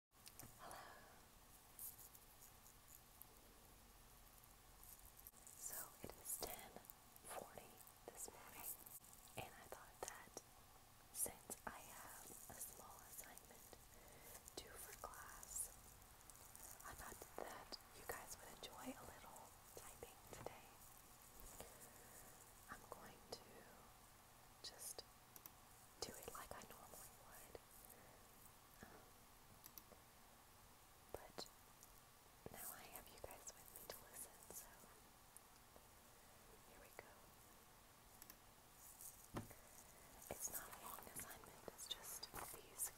Hello. So it is ten forty this morning, and I thought that since I have a small assignment due for class, I thought that you guys would enjoy a little typing today. I'm going to just do it like I normally would um, but now I have you guys with me to listen, so here we go. It's not a long assignment, it's just these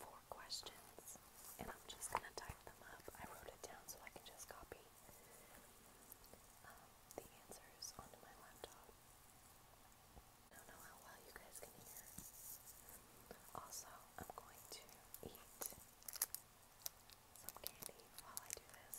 four questions, and I'm just going to type them up. I wrote it down so I can just copy um, the answers onto my laptop. I don't know how well you guys can hear. Also, I'm going to eat some candy while I do this.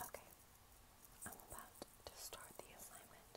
Okay, I'm about to start the assignment.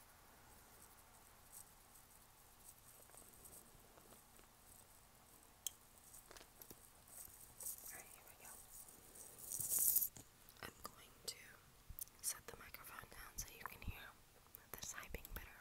Alright, I'm going to set the microphone down so you can hear this hyping better.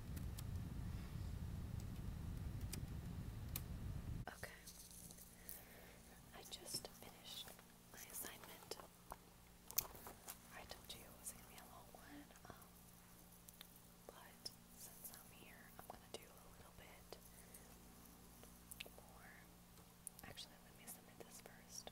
Okay. I just finished my assignment. I told you it was going to be a long one, um, but since I'm here, I'm going to do a little bit more. Actually, let me submit this first.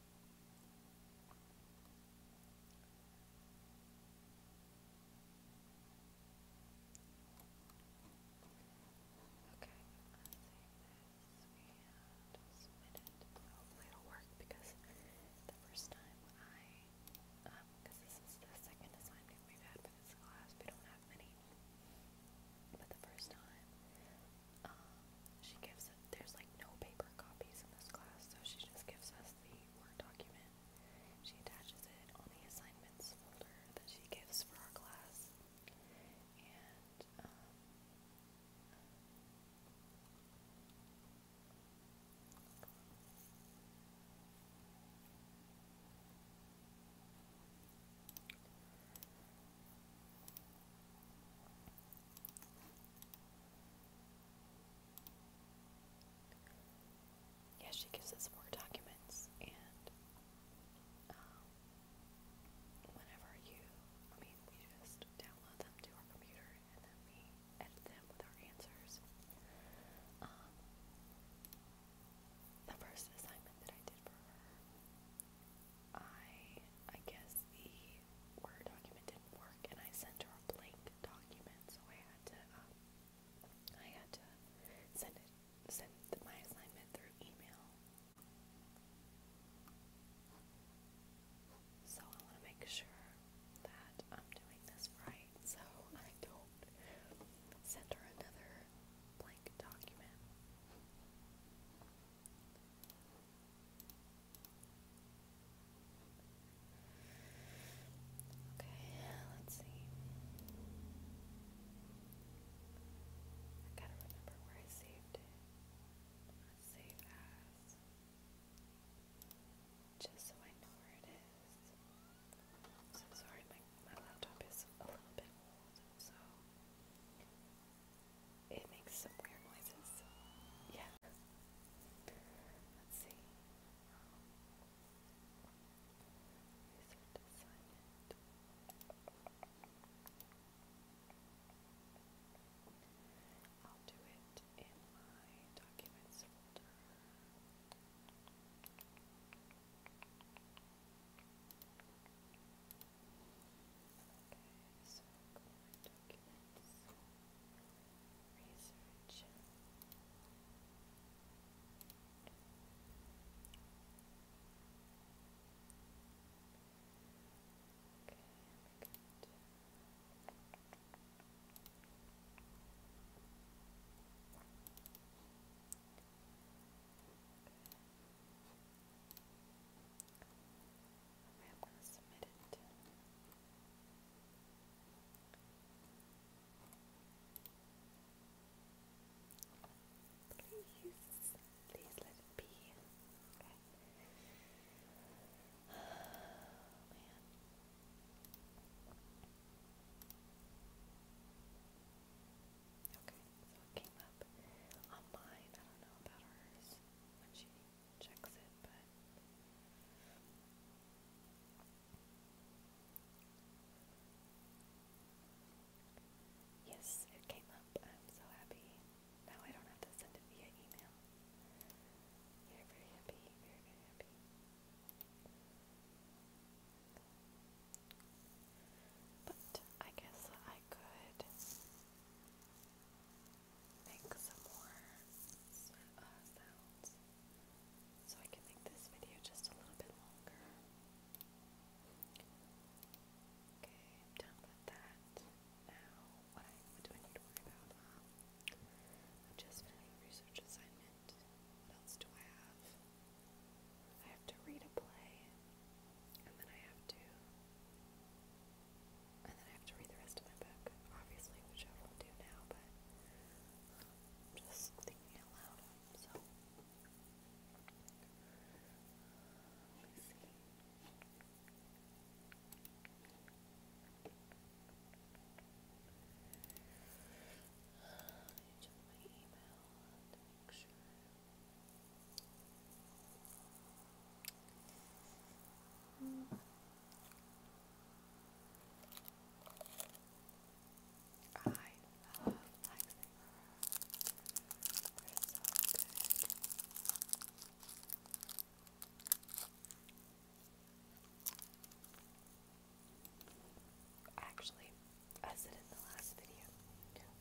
just a minute. Hopefully it'll work because the first time I, because this is the second assignment we've had for this class, we don't have many. But the first time um, she gives there's like no paper copies in this class, so she just gives us the Word document. She attaches it on the assignments folder that she gives for our class. And, um, yeah, she gives us more documents, and um, whenever you, I mean, we just download them to our computer and then we edit them with our answers. Um, the first assignment that I did for her I I guess the Word document didn't work, and I sent her a blank document, so I had to um, I had to send it send my assignment through email. So I want to make sure that I'm doing this right, so I don't send her another blank document. Okay, let's see. I gotta remember where I saved it. Save as. Just so I know where it so sorry, my, my laptop is a little bit it makes some weird noises. Yeah. Let's see. I'll do it in my documents folder. Okay, so documents, research. Okay, good. Okay, I'm going to submit it. Please, please let it be. Okay. Oh, man. Okay. So it came up on I don't know about hers when she checks it, but. Yes, it came up. I'm so happy. Now I don't have to send it via email. very happy. Very, very happy. But I guess I could make some more uh, sounds so I can make this video just a little bit longer. Okay, i with that. Now, what, do I need to worry about? Um, I'm just finished research assignment. What else do I have? I have to read a play and then I have to, and then I have to read the rest of my book, obviously, which I won't do now, but um, just thinking out so. Um, let's see. check my email to make sure. Mm. I love Lifesaver. they so good. Actually, I said in the last video,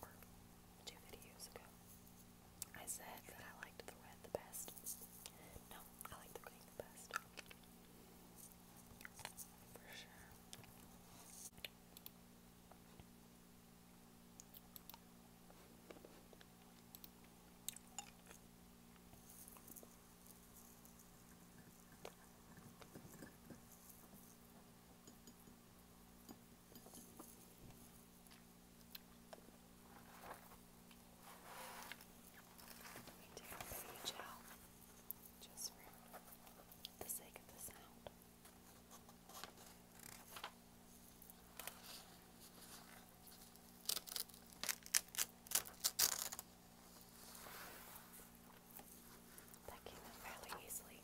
or two videos ago, I said that I liked the red the best. No, I like the green the best. For sure. Let me take a page out just for the sake of the sound. That came fairly easily.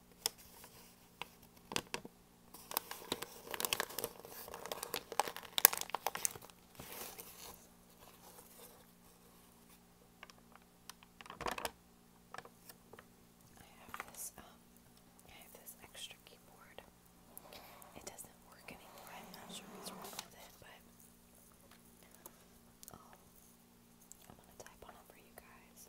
have this, um, I have this extra keyboard. It doesn't work anymore. I'm not sure what's wrong with it, but um, I'm gonna type on it for you guys.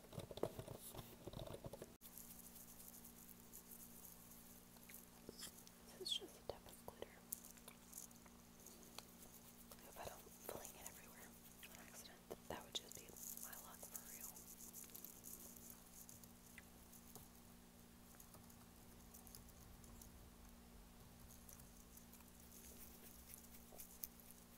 This is just a type of glitter. I hope I don't fling it everywhere on accident. That would just be my luck for real. I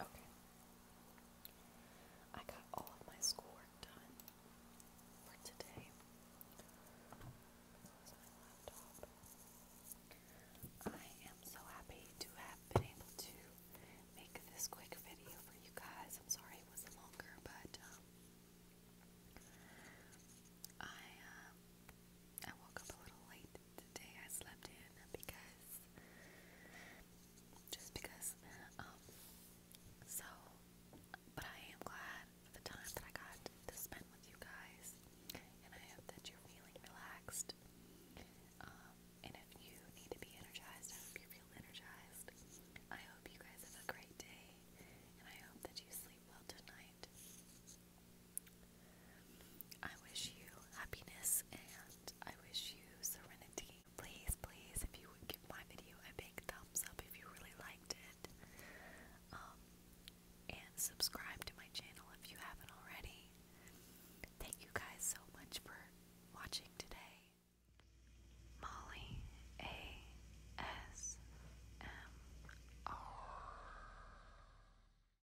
Okay. I got all of my schoolwork done for today. I am so happy to have been able to make this quick video for you guys. I'm sorry it was longer, but um, I um, I woke up a little late today I slept in because just because um, so but I am glad for the time that I got to spend with you guys and I hope that you're feeling relaxed. Um, and if you need to be energized, I hope you feel energized. I hope you guys have a great day and I hope that you sleep well tonight. I wish you happiness and I wish you serenity. Please, please, if you would give my video a big thumbs up if you really liked it. Um, and subscribe to my channel if you haven't already. Thank you guys so much for watching today. Molly A S M R